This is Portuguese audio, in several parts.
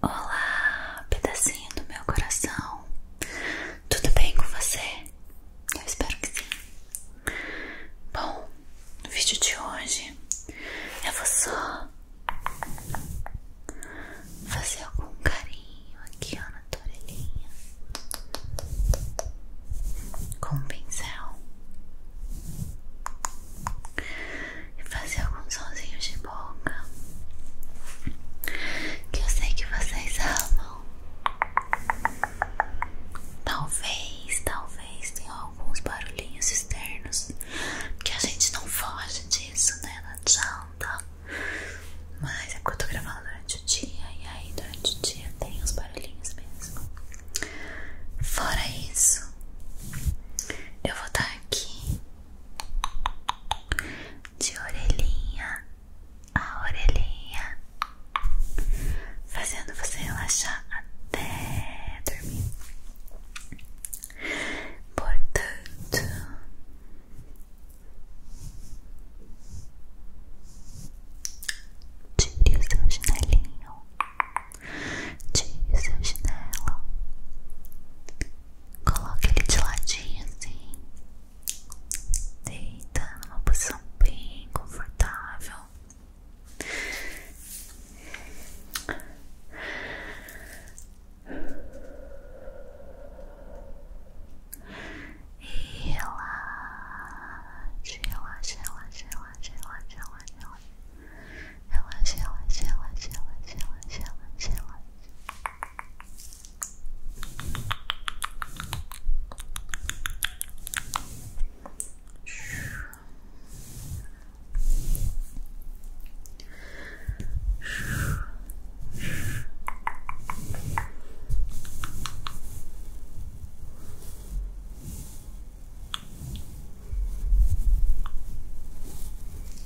Olá, pedacinho do meu coração. Tudo bem com você? Eu espero que sim. Bom, no vídeo de hoje eu vou só fazer algum carinho aqui na tua com um pincel e fazer alguns sonzinhos de boca que eu sei que vocês amam. Talvez, talvez tenha alguns barulhinhos externos que a gente não foge disso, né? Não adianta. Mas é porque eu tô gravando durante o dia e aí durante o dia tem os barulhinhos mesmo. Fora isso, eu vou estar tá aqui de orelhinha a orelhinha, fazendo você relaxar até dormir. Portanto, tire o seu chinelinho, tire o seu chinelo. Coloque ele de ladinho assim. deitando numa posição bem confortável. E relaxe, relaxe, relaxe, relaxe, relaxe, relaxe, relaxe. 先玩，先玩，先玩，先玩，先玩，先玩，先玩。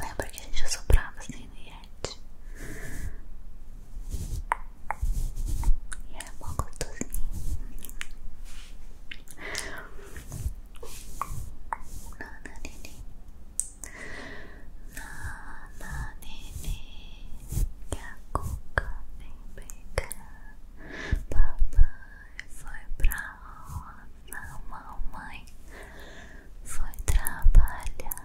Lembra que a gente assoprava é assim no né, Yeti? E era é pouco gostosinho. Nananini Nananini Que a cuca vem pegar Papai foi pra roça Mamãe foi trabalhar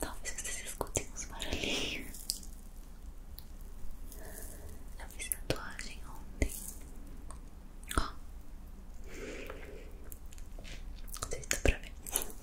Talvez vocês escutem uns barulhinhos eu fiz tatuagem ontem. Ó. Não sei se dá pra tem um barulhinho do plano.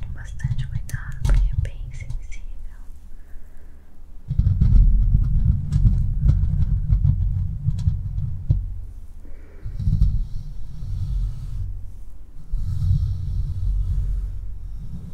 Com bastante cuidado, porque é bem sensível.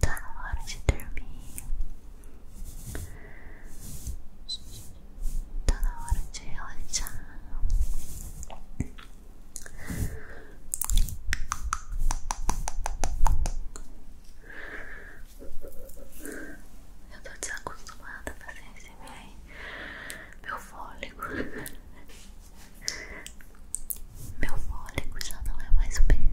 Tá na hora de dormir. Tá na hora de relaxar. Eu tô desacostumada a fazer esse meu, meu fôlego. Meu fôlego já não é mais o mesmo.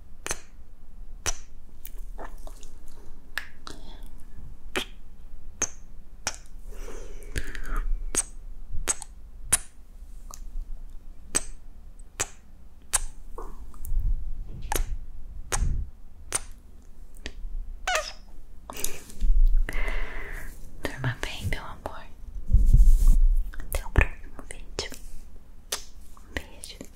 Durma bem, meu amor. Até o próximo vídeo. beijo.